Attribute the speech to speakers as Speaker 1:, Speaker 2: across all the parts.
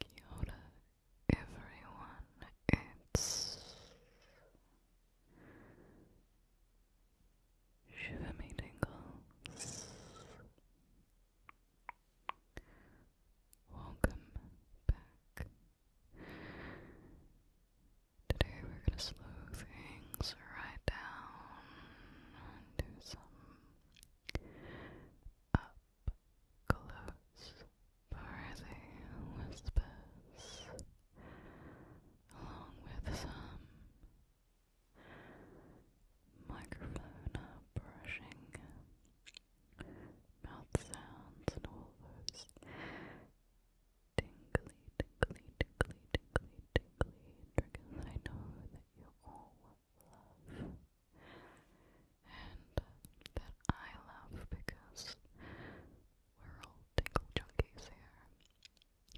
Speaker 1: Kia everyone, it's Shiver Me Welcome back. Today we're going to slow things right down and do some up close for whispers, along with some microphone brushing, mouth sounds, and all those tingly, tingly, tingly, tingly, tingly triggers I know that you all love. And that I love because we're all tingle junkies here.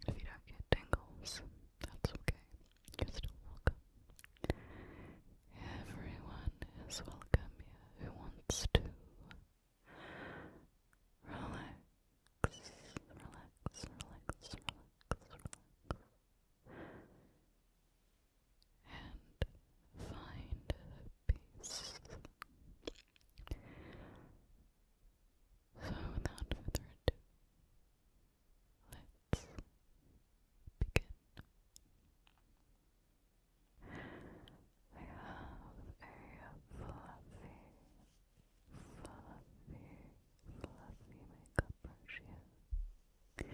Speaker 1: If you don't get tingles, that's okay. You're still welcome. Everyone is welcome here who wants to relax, relax, relax, relax, relax and find peace. So, without further ado, let's begin. I have a fluffy, fluffy, fluffy makeup brush I've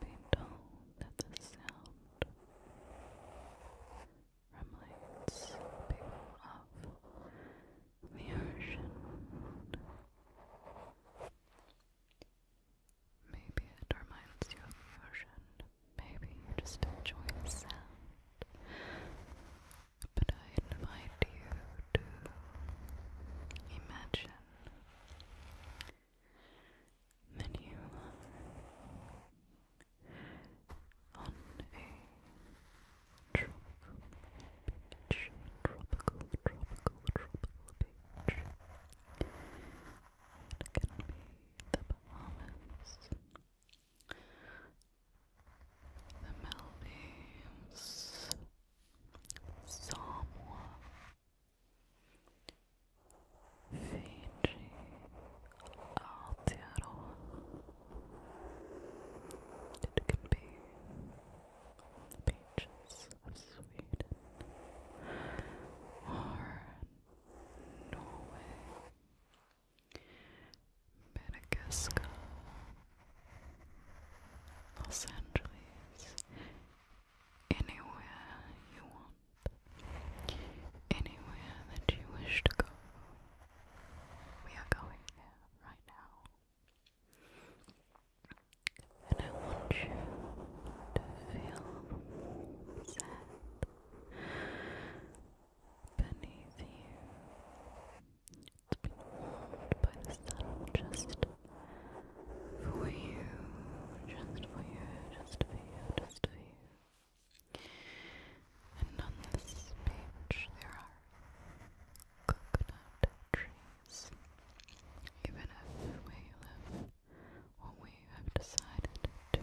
Speaker 1: been told that the sound reminders people of the ocean. Maybe it reminds you of the ocean. Maybe you just enjoy the sound but I invite you to imagine that you are on a tropical beach, tropical, tropical, tropical beach. It can be the Bahamas. The Maldives, Samoa, Fiji, Aotearoa. It can be the beaches of Sweden or Norway. Madagascar, Los Angeles, anywhere you want, anywhere that you wish to go. We are going there right now. And I want you to feel sad beneath you. It's been warmed by the sun just for you, just for you, just for you, just for you. And on this beach there are coconut trees. Even if we live what we have decided to go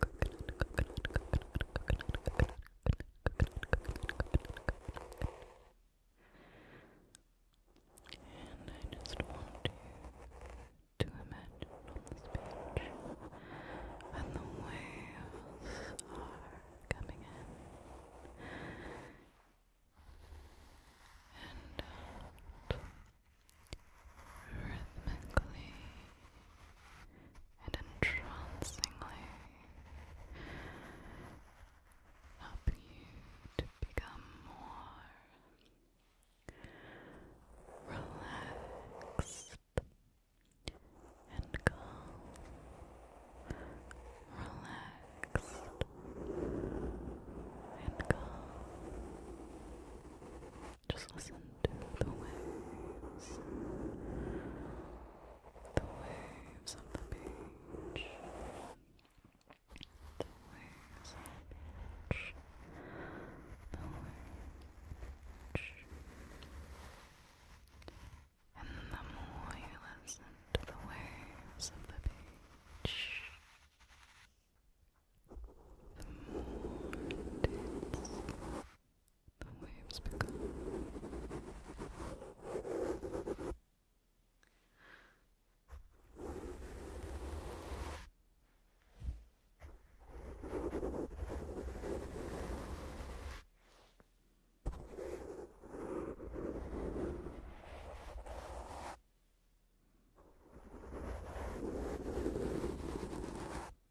Speaker 1: Coconut, And I just want you to imagine on this page when the waves are coming in and rhythmically and entrancingly help you to become more relaxed and calm, relaxed and calm. Just listen to the waves, the waves of the beach, the waves the waves. And the more you listen to the waves of the beach, mountains the waves become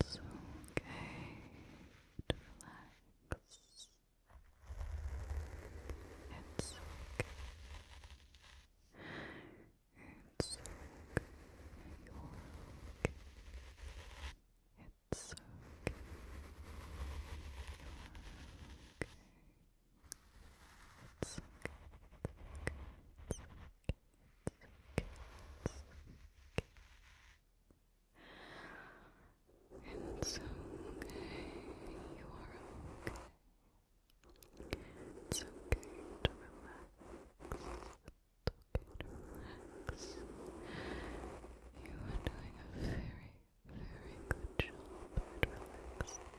Speaker 1: It's okay relax. It's okay. It's okay. It's okay. It's okay, you are okay. It's okay to relax. It's okay to relax. You are doing a very, very good job at relaxing.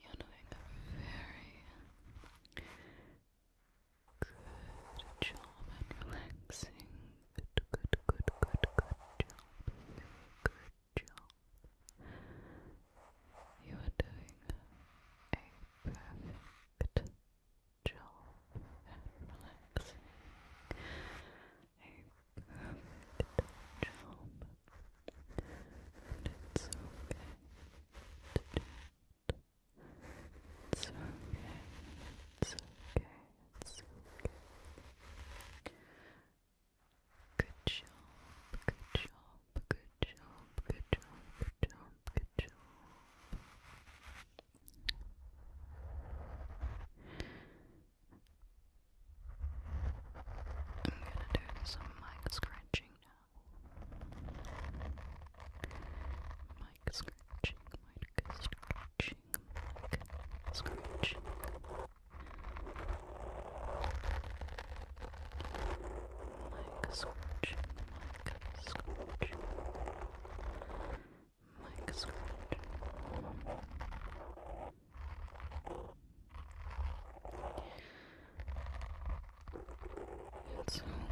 Speaker 1: You're doing a very good job and relaxing. Good, good, good, good, job. good job. You are doing a perfect job and relaxing. A perfect job and it's okay to do It's okay. It's okay. It's okay. Good job. Good job. Good job. Good job. Good job. Good job. I'm gonna do some mic scratching now. Mic scratching, mic scratching, mic scratching. Mic scratching, mic scratching. Mic scratching. Mic scratching. It's okay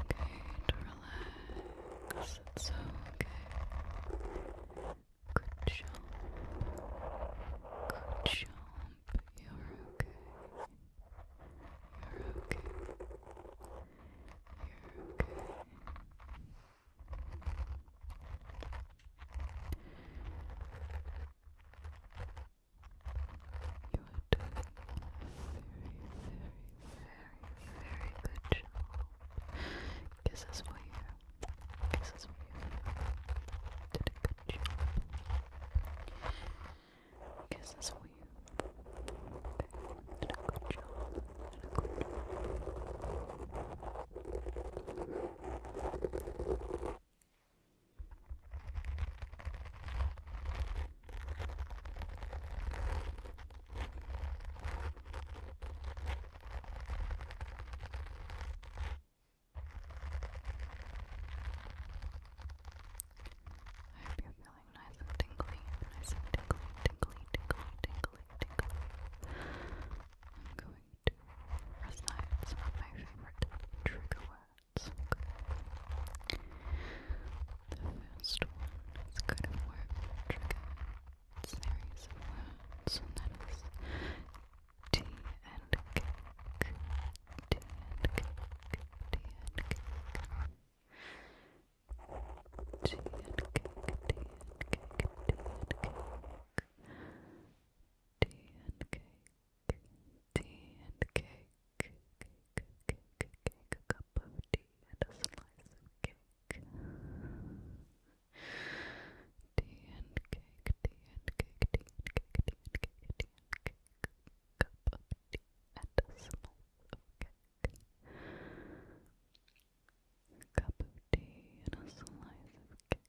Speaker 1: to relax. It's okay. Good job. Good job. You're okay. You're okay. You're okay. You are doing a very, very, very, very good job. Kisses for you. Kisses for you. Did a good job. Kisses for you. Okay. Did a good a good job. I hope you're feeling nice and tingly, nice and tingly, tingly, tingly, tingly, tingly. I'm going to recite some of my favorite trigger words that's okay. The first one is kind of more of a trigger that is tea and cake, and cake, and cake. and cake, and cake, and cake. and cake, tea and cake, a cup of tea and a slice of cake. Tea and cake, tea and cake, tea and cake, tea and cake, tea cup of tea and a slice of cake. Cup of tea and a slice of cake.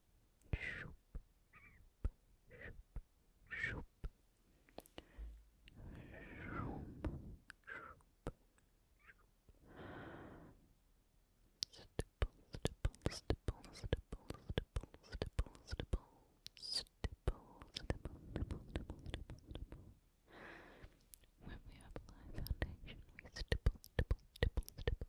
Speaker 1: shoop, shoop, shoop. Stipple, stipple, stipple, stipple, stipple, stipple, stipple, stipple, stipple, stipple, stipple, stipple. When we apply foundation, we stipple, stipple, stipple, stipple,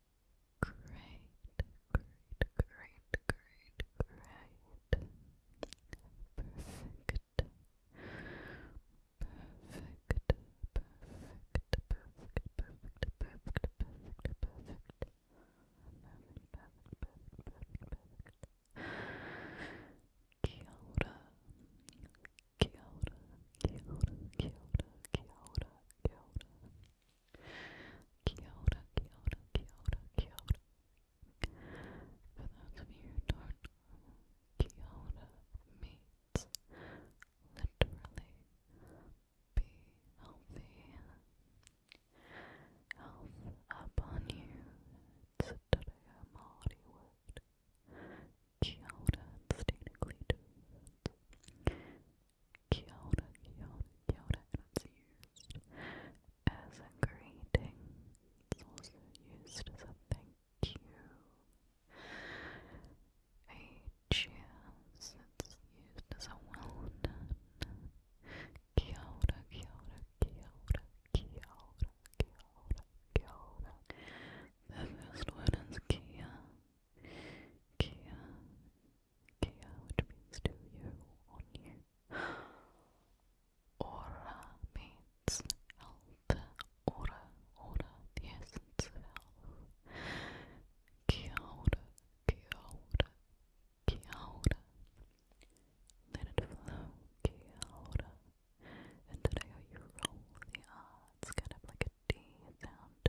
Speaker 1: Great, great, great, great, great. Perfect. Perfect, perfect, perfect, perfect, perfect, perfect, perfect. Perfect, perfect, perfect, perfect, perfect. Kia ora. Kia Kia ora, kia ora, kia ora, kia ora. For those you literally be healthy. Health upon you. It's a Tadea Māori word. Kia it's technically two Kia ora, kia ora, kia ora, and it's used as a greeting. It's also used as a thank you. A cheers, it's used as a well done. Kia ora, kia ora, kia ora, kia ora, kia ora, kia ora. The first word is kia. Kia, Kia, which means to you, on you. Aura means health. Aura, aura, the essence of Kia ora, kia ora, kia ora. Let it's kind of like a D sound.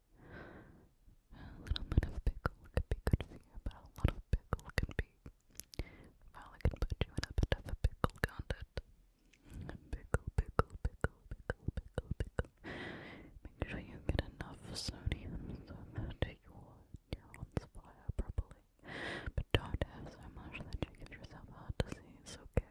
Speaker 1: A little bit of pickle could be good for you, but a lot of pickle can be. Probably can put you in a bit of a pickle, can Pickle, pickle, pickle, pickle, pickle, pickle. Make sure you get enough sodium so that your neurons fire properly. But don't have so much that you give yourself heart disease, okay?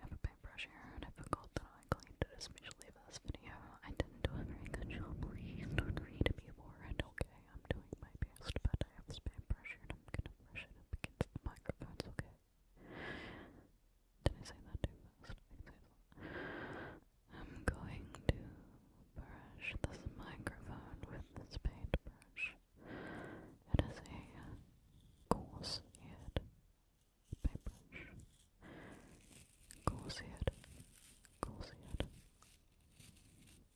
Speaker 1: have a paintbrush here and I forgot that I cleaned it especially for this video. I didn't do a very good don't read me for it, okay? I'm doing my best, but I have spam pressure and I'm gonna brush it up against the microphones, okay? Did I say that too fast? I am going to brush this microphone with this paintbrush. It is a coarse head paintbrush. Coarse head. Coarse head.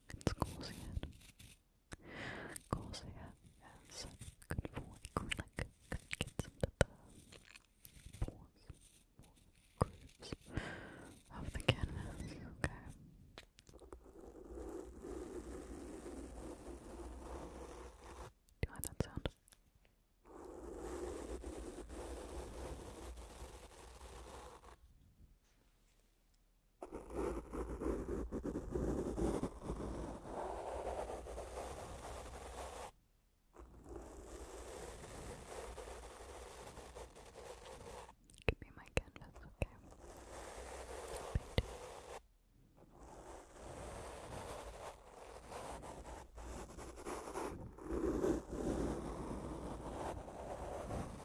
Speaker 1: It's Corsair. Corsair is good for acrylic. It gets into the pores, grooves of the canvas. Okay. Do you like that sound? Give me my canvas, okay? Paint. Thank you.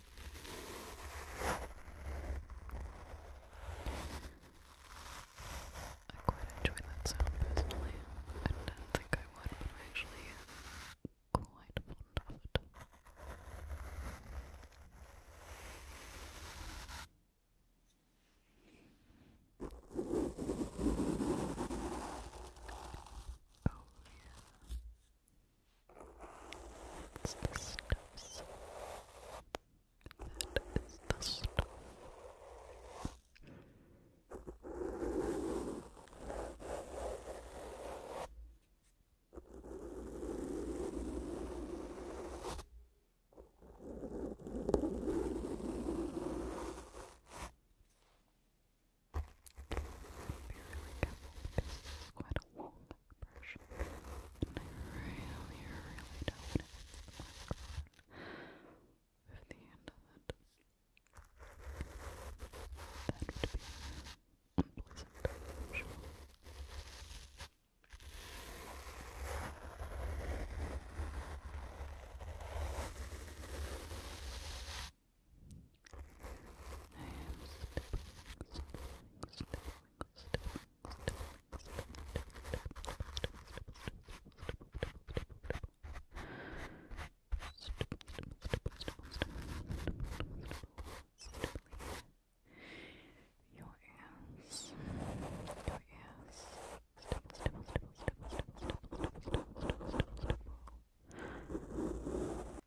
Speaker 1: I quite enjoy that sound personally. I don't think I would, but I actually am quite fond of it. Oh, it's the stuff. That is the stuff. Be really careful this is quite a long brush. And really, really don't want to microphone with the end of it. That would be unpleasant, I'm sure. I am snipping, your ears, your ears. Stipple, stipple, stipple, stipple, stipple, stipple, stipple, stipple, stipple, stipple.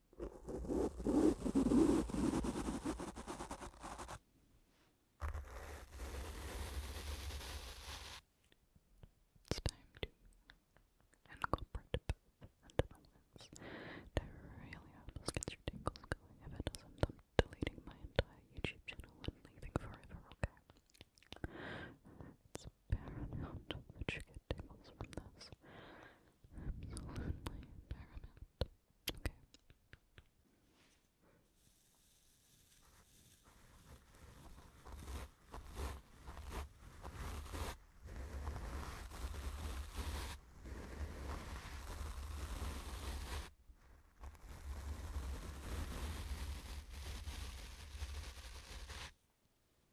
Speaker 1: It's time to incorporate the both into I really hope your tingles going. If it doesn't, I'm deleting my entire YouTube channel and leaving forever, okay? It's paramount that you get tingles from this absolutely paramount. Okay.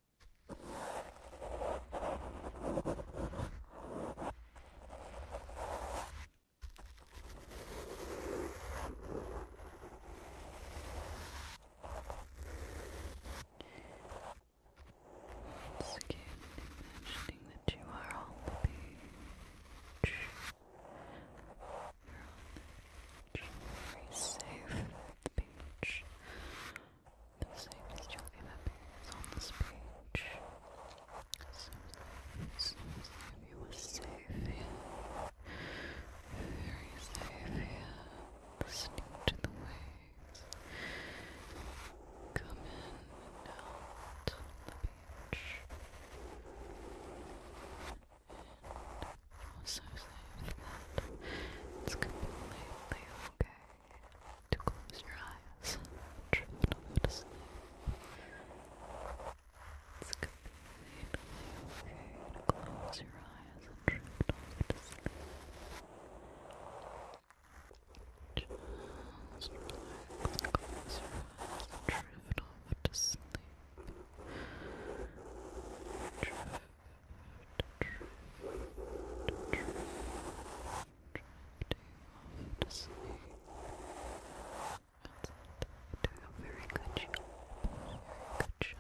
Speaker 1: It's good imagining that you are on the beach. You're on the beach. Very safe at the beach. The same as your ever appears on this page. So, so, so safe here. Very safe here. Listening to the waves. Come in and out on the beach. And so safe that it's completely okay to close your eyes drift off to sleep. It's completely okay to close your eyes and drift off to sleep. Just close your eyes and drift off to sleep to sleep. That's it. You're doing a very good job. Very good job.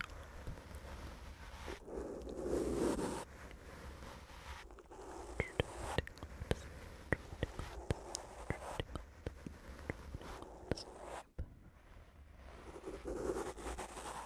Speaker 1: Sleep. Sleep.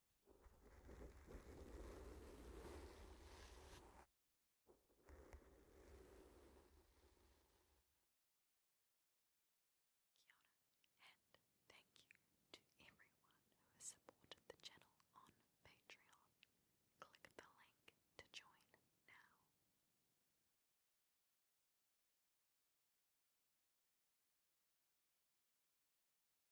Speaker 1: Kia and thank you to everyone who has supported the channel on Patreon. Click the link to join now.